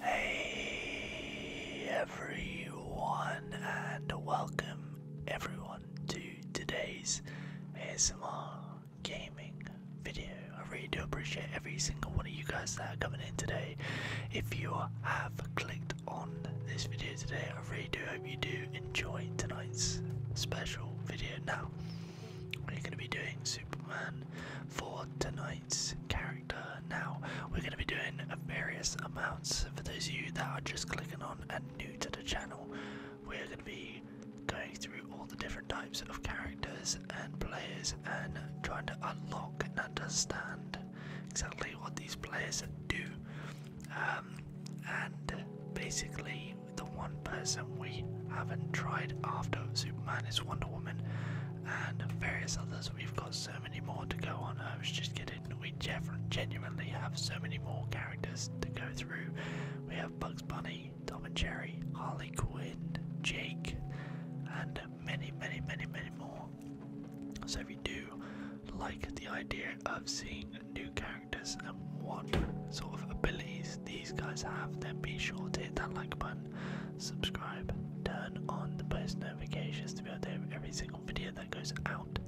Hey everyone, and welcome everyone to today's ASMR gaming video. I really do appreciate every single one of you guys that are coming in today. If you have clicked on this video today, I really do hope you do enjoy tonight's special video. Now, we're going to be doing Superman for tonight's character. Now, we're going to be doing various amounts. For those of you that are just clicking on and new to the channel, we're going to be going through all the different types of characters and players and trying to unlock and understand exactly what these players do. Um, and basically, the one person we haven't tried after Superman is Wonder Woman and various others. We've got so many more to go on. I was just kidding. We genuinely have so many more characters to go through. We have Bugs Bunny. Jerry, Tom and Jerry, Harley Quinn, Jake, and many, many, many, many more. So if you do like the idea of seeing new characters and what sort of abilities these guys have, then be sure to hit that like button, subscribe, turn on the post notifications to be able to have every single video that goes out,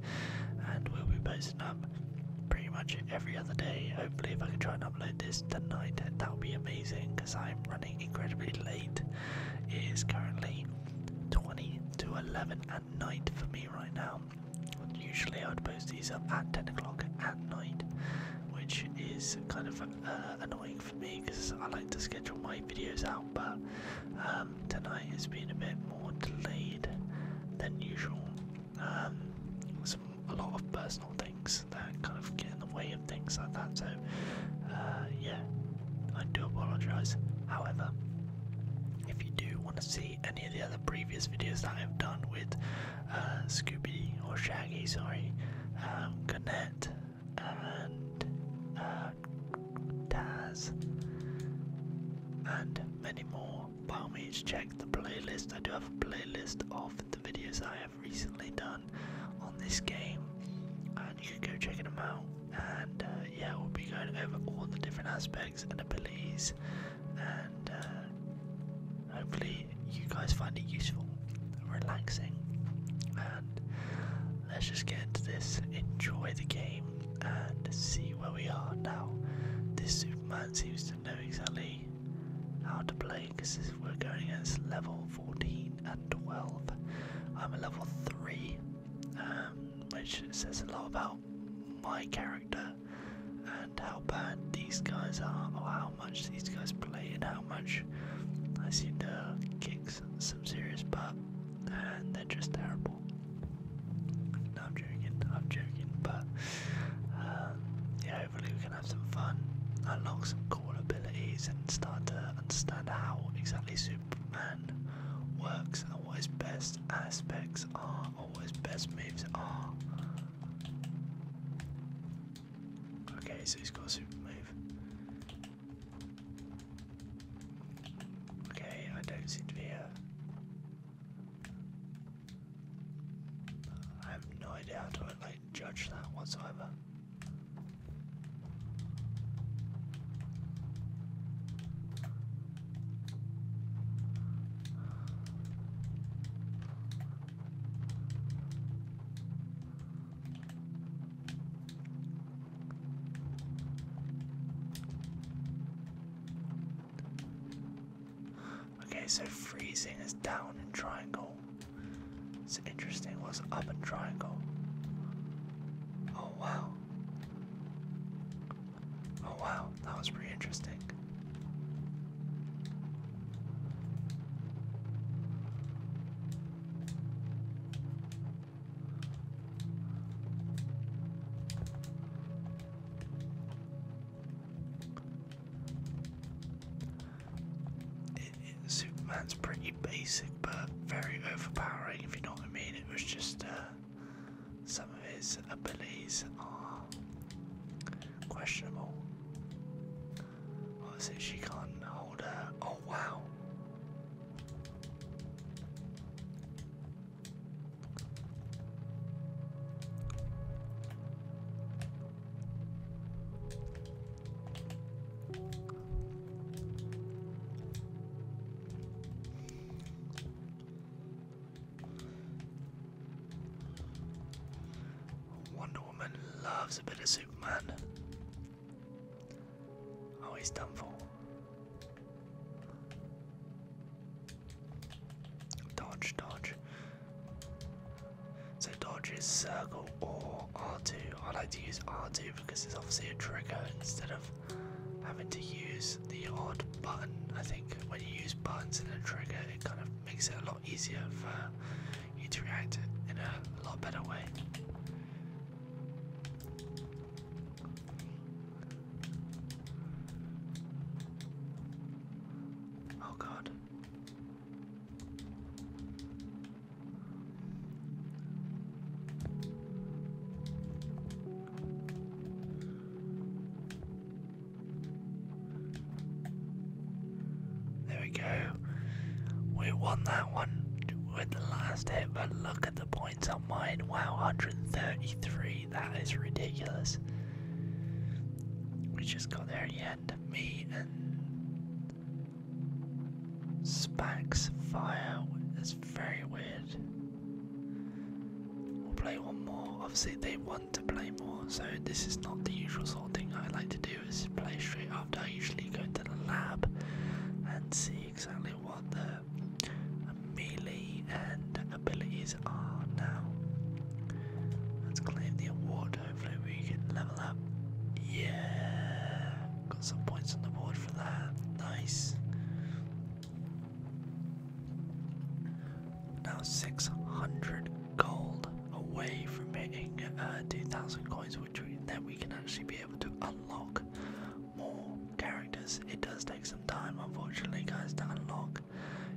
and we'll be posting up pretty much every other day. Hopefully, if I can try upload this tonight, that would be amazing because I'm running incredibly late. It is currently 20 to 11 at night for me right now. Usually I would post these up at 10 o'clock at night, which is kind of uh, annoying for me because I like to schedule my videos out, but um, tonight has been a bit more delayed than usual. Um, a lot of personal things that kind of get in the way of things like that. So uh, yeah, I do apologise. However, if you do want to see any of the other previous videos that I've done with uh, Scooby or Shaggy, sorry, um, and uh, and many more more, by all means check the playlist. I do have a playlist of the videos I have recently done on this game, and you can go checking them out. And uh, yeah, we'll be going over all the different aspects and abilities, and uh, hopefully you guys find it useful, relaxing, and let's just get into this. Enjoy the game and see where we are now. This Superman seems to to know exactly how to play because we're going against level 14 and 12. I'm a level 3, um, which says a lot about my character and how bad these guys are, or how much these guys play, and how much I seem to kick some, serious butt, and they're just terrible. I'm joking, I'm joking, but um, yeah, hopefully we can have some fun, unlock some cool abilities, and start to understand how exactly Superman works and what his best aspects are, or his best moves are. Okay, so he's got a super move. Okay, I don't seem to be I have no idea how to judge that whatsoever. Okay, so freezing is down in triangle. It's interesting what's up in triangle. Oh wow. Oh wow, that was pretty interesting. Superman's pretty basic but very overpowering, if you know what I mean. It was just uh, some of his abilities are questionable. What is it? She can't hold her. Oh wow. Wonder Woman loves a bit of Superman. Oh, he's done for. Dodge, dodge. So dodge is circle or R2. I like to use R2 because it's obviously a trigger instead of having to use the odd button. I think when you use buttons and a trigger, it kind of makes it a lot easier for you to react in a lot better way. Oh God. There we go. We won that one with the last hit, but look at the points on mine. Wow, 133. That is ridiculous. We just got there in the Me and Spax Fire. That's very weird. We'll play one more. Obviously, they want to play more, so this is not the usual sort of thing I like to do. Is play straight after. I usually go to the lab and see exactly what the melee and abilities are now. Let's claim the award, hopefully we can level up. Yeah, got some points on the board for that, nice. Now 600 gold away from hitting uh, 2,000 coins, which we, then we can actually be able to unlock more characters. It does take some time, unfortunately, guys, to unlock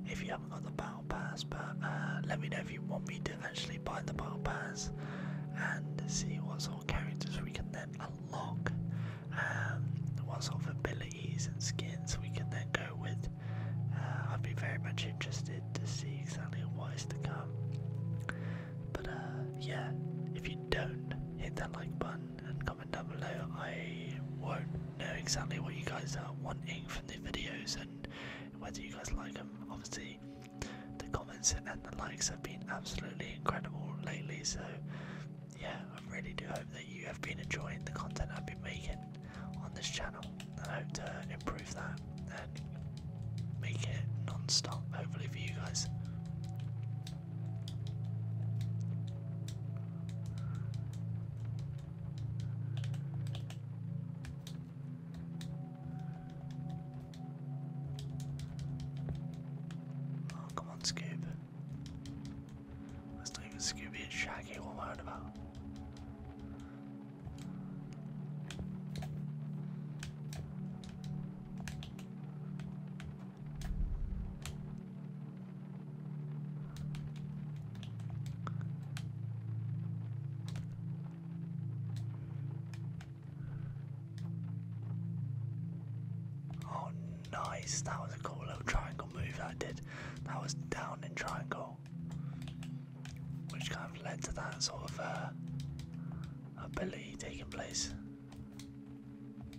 if you haven't got the battle pass. But uh, let me know if you want me to actually buy the battle pass and see what sort of characters we can then unlock, um, what sort of abilities and skins we can then go with. Uh, I'd be very much interested to see exactly what is to come. But uh, yeah, if you don't hit that like button and comment down below, I won't know exactly what you guys are wanting from the videos and whether you guys like them. Obviously, the comments and the likes have been absolutely incredible lately, so yeah, I really do hope that you have been enjoying the content I've been making on this channel and I hope to improve that and make it non stop, hopefully, for you guys. Oh, come on, Scoob. Let's leave Scooby and Shaggy alone about. Oh, nice. That was a cool little triangle move I did. That was down in triangle, which kind of led to that sort of uh, ability taking place.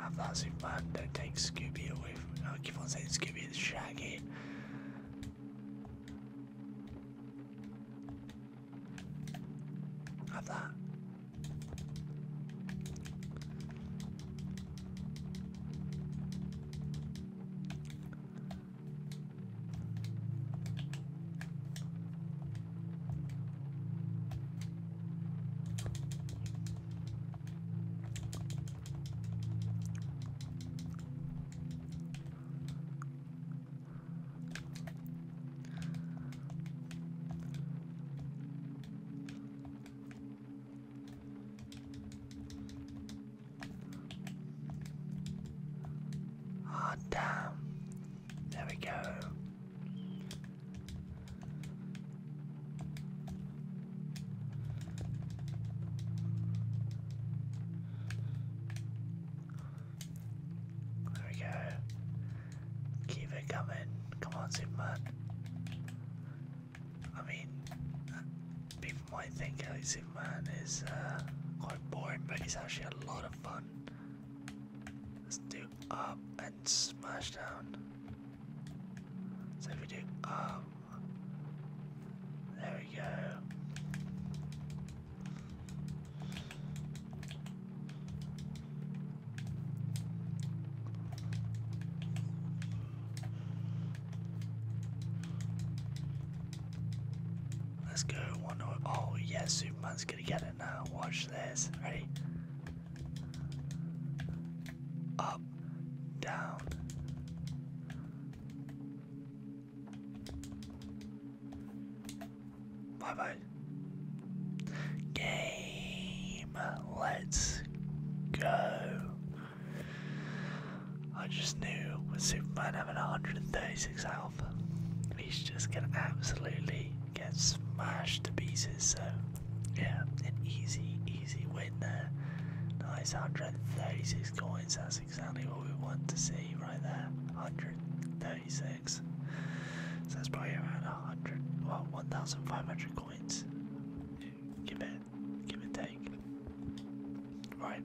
Have that not Zoom Bot. Don't take Scooby away from. I oh, keep on saying Scooby and Shaggy. I'm Oh damn. There we go. There we go. Keep it coming. Come on, Superman. I mean, people might think Superman is uh, quite boring, but it's actually a lot of fun. Let's do up and smash down. So we do up, there we go. Let's go, one oh, oh yeah, Superman's gonna get it ahead watch this. Ready? Up, down. Bye bye. Game. Let's go. I just knew with Superman having 136 health, he's just gonna absolutely get smashed to pieces. So, yeah, an easy, easy win there. Nice 136 coins, that's exactly what we want to see right there. 136. So that's probably around 100, well, 1,500 coins. Give it, give and take. Right,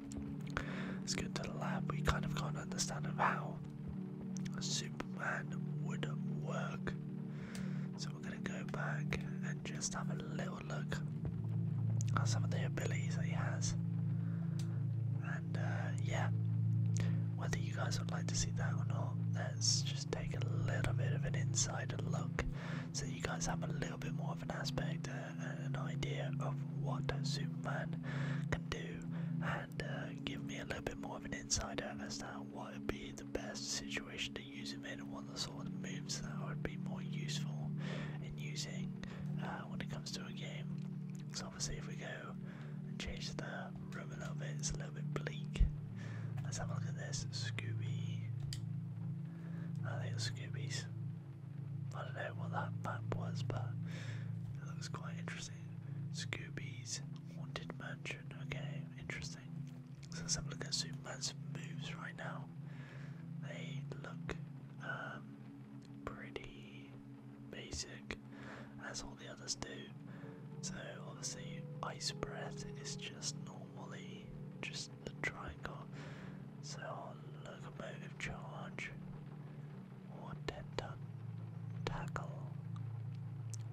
let's go to the lab. We kind of can't understand of how Superman would work. So we're going to go back and just have a little look at some of the abilities that he has. And uh, yeah, whether you guys would like to see that or not, let's just take a little bit of an inside look so you guys have a little bit more of an aspect and uh, an idea of what Superman can do and uh, give me a little bit more of an insider as to what would be the best situation to use him in and what the sort of moves that would be more useful in using uh, when it comes to a game. So obviously if we go and change the room a little bit, it's a little bit bleak. Let's have a look at this. Scooby. I think Scooby's. I don't know what that map was, but it looks quite interesting interesting. Scooby's Haunted Mansion. Okay, interesting. So let's have a look at Superman's moves right now. They look um, pretty basic, as all the others do. So obviously, Ice Breath is just normally just a triangle. So locomotive charge. Watenta tackle.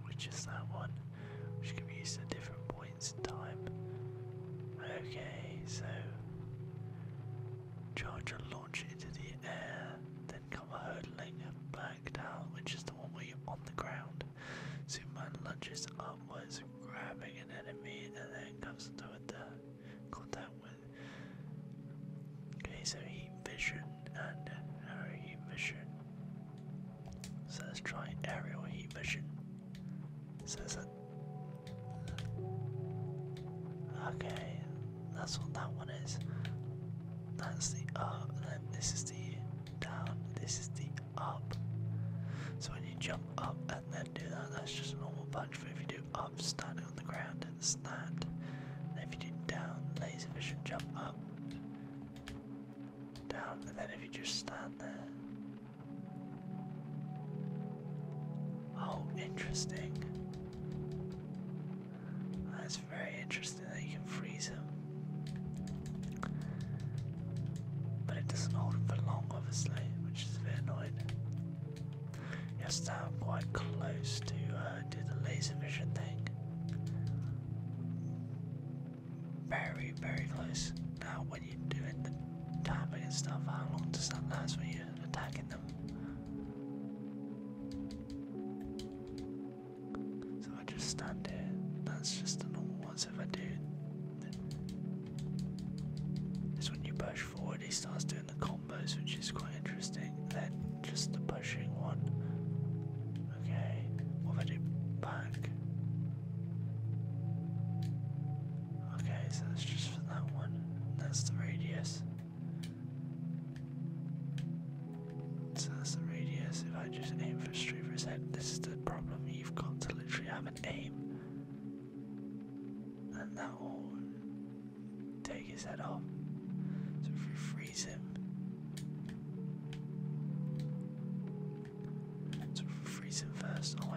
Which is that one? Which can be used at different points in time. Okay, so charge Charger launch into the air, then come hurtling back down, which is the one where you're on the ground. Superman lunges upwards, grabbing an enemy, and then comes into the down. Okay, so heat vision and aerial heat vision. So let's try aerial heat vision. So is Okay, that's what that one is. That's the up, and then this is the down, this is the up. So when you jump up and then do that, that's just a normal punch, but if you do up, stand on the ground and snat. if you do down, laserfish will jump up. Down, and then if you just stand there. Oh, interesting. That's very interesting that you can freeze him. But it doesn't hold him for long, obviously, which is a bit annoying. Yes, now I'm quite close to uh, do the laser vision thing. Very, very close. Now, when you're doing the tapping and stuff, how long does that last when you're attacking them? So I just stand here. That's just the normal ones if I do. This when you push Already starts doing the combos, which is quite interesting. Then just the pushing one. Okay, what if I do back? Okay, so that's just for that one. That's the radius. So that's the radius. If I just aim for straight for his this is the problem. You've got to literally have an aim and that will take his head off. So if we freeze him, freeze him first, oh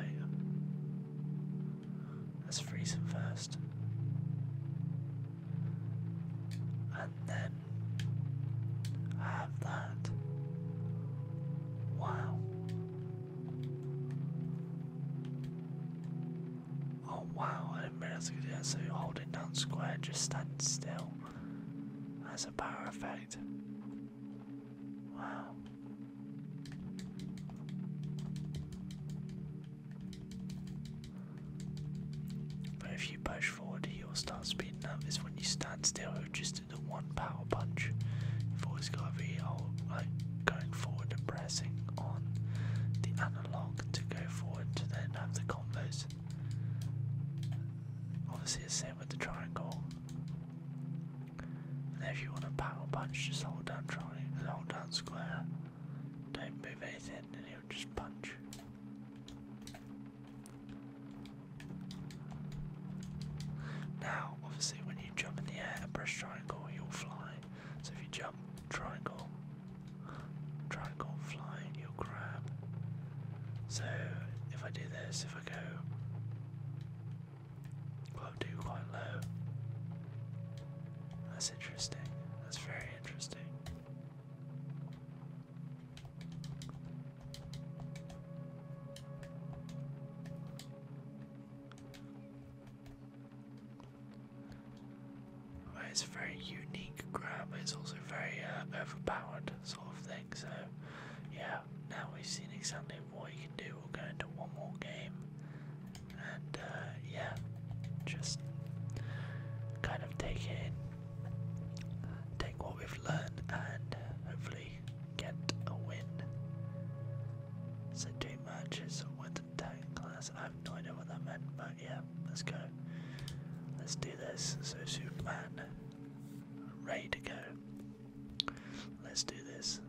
let's freeze him first, and then have that. Wow. Oh wow, I didn't realize I could do that. So holding down square just stand still That's a power effect. Wow. But if you push forward, you'll start speeding up. It's when you stand still, just do the one power punch. You've always got to be like going forward and brake. Passing on the analog to go forward to then have the combos. Obviously the same with the triangle. And if you want a power punch, just hold down triangle, hold down square. Don't move anything and he'll just punch. Now, obviously, when you jump in the air and press triangle, you'll fly. So if you jump triangle, triangle flying, you'll grab. So if I do this, if I go, well, do quite low. That's interesting. That's very interesting it's a very unique grammar, it's also very uh, overpowered sort of thing, so yeah, now we've seen exactly what you can do, we'll go into one more game, and uh, yeah, just kind of take it in, take what we've learned, and hopefully get a win. So two matches with to class. I have no idea what that meant, but yeah, let's go. Let's do this. So Superman, ready to go. Let's do this.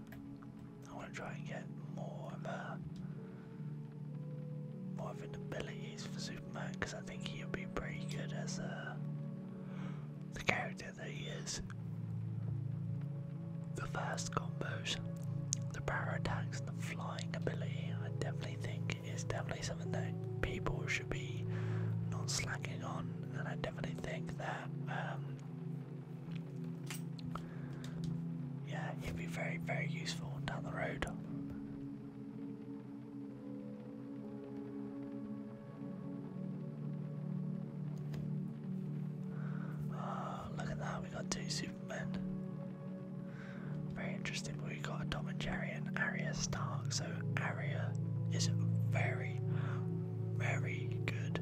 I want to try and get more of a, uh, more of an abilities for Superman because I think he'll be pretty good as a, uh, the character that he is. The first combos, the power attacks, the flying ability, I definitely think is definitely something that people should be not slacking on, and I definitely think that, um, yeah, it'd be very, very useful down the road. Oh, look at that, we got two Supermen. Very interesting, we got a Tom and Jerry and Arya Stark, so Arya is very, very good.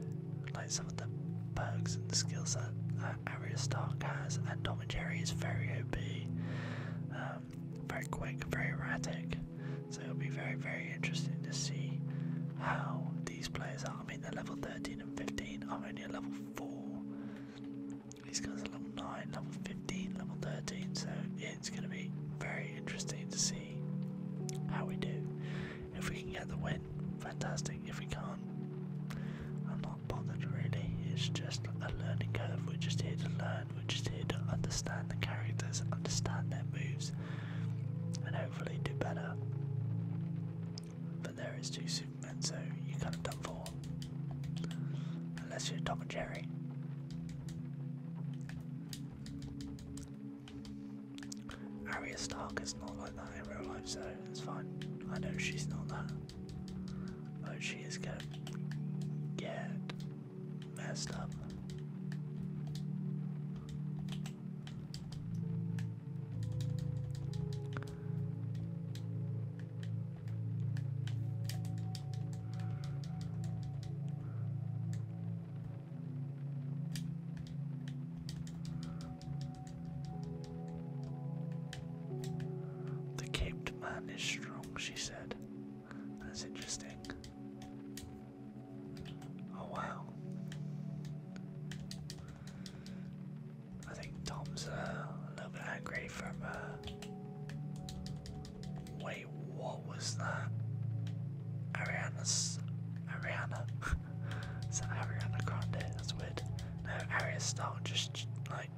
Like some of the perks and skills that uh, Arya Stark has, and Tom and Jerry is very OP, um, very quick, very erratic. So it'll be very, very interesting to see how these players are I mean they're level 13 and 15, I'm only at level 4. These guys are level 9, level 15, level 13, so it's going to be very interesting to see how we do. If we can get the win, fantastic. If we can't, I'm not bothered really. It's just a learning curve. We're just here to learn, we're just here to understand the characters, understand their moves, and hopefully do better. But there is two Supermen, so you're kind of done for. Unless you're Tom and Jerry. Arya Stark is not like that in real life, so it's fine. I know she's not that. But she is gonna get messed up. The caped man is strong, she said. That's interesting. Oh wow. I think Tom's uh, a little bit angry from. Uh, wait, what was that? Ariana's. Ariana? Is that Ariana Grande? That's weird. No, Arya Stark just like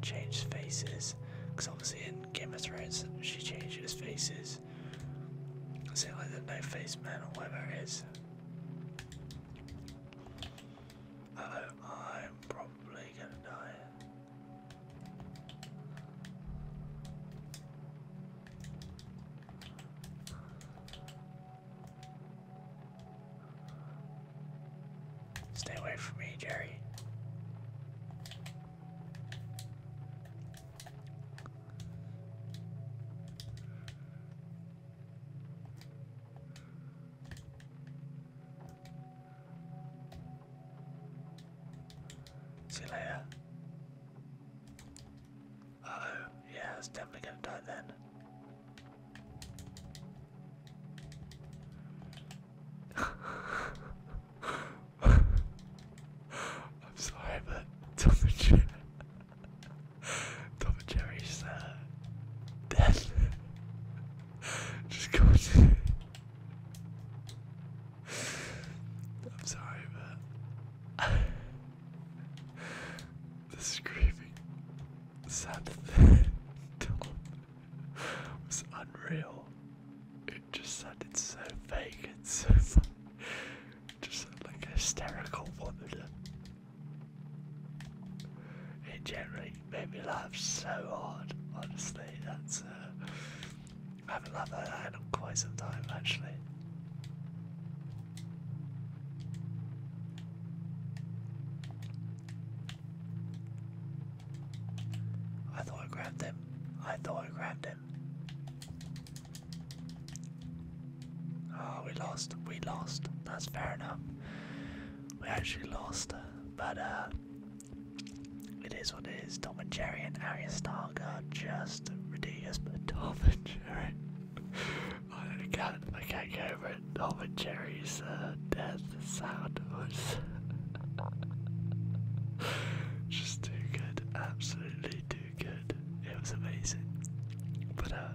changed faces. Because obviously in Game of Thrones she changes faces is. like the knife face man or whatever I'm probably gonna die. Stay away from me, Jerry. See you yeah, it's definitely gonna die then. I'm sorry, but Tom and Jerry, Tom and uh, just goes. I'm sorry, but the screaming sound of Tom was unreal. It just sounded so fake and so fun. Just like hysterical woman. It generally made me laugh so hard, honestly. That's, uh, I haven't laughed like that in quite some time, actually. I thought I grabbed him. I thought I grabbed him. Oh, we lost. We lost. That's fair enough. We actually lost. But, uh, it is what it is. Tom and Jerry and Arya Stark are just ridiculous. But Tom and Jerry. I can't, I can't get over it. Tom and Jerry's uh, death sound just too good. Absolutely too it was amazing. But uh,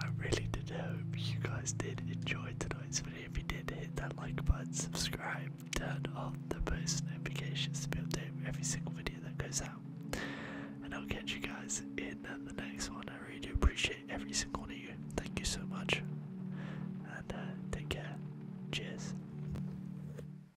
I really did hope you guys did enjoy tonight's video. If you did, hit that like button, subscribe, turn on the post notifications to be updated with every single video that goes out. And I'll catch you guys in the next one. I really do appreciate every single one of you. Thank you so much. And uh, take care. Cheers.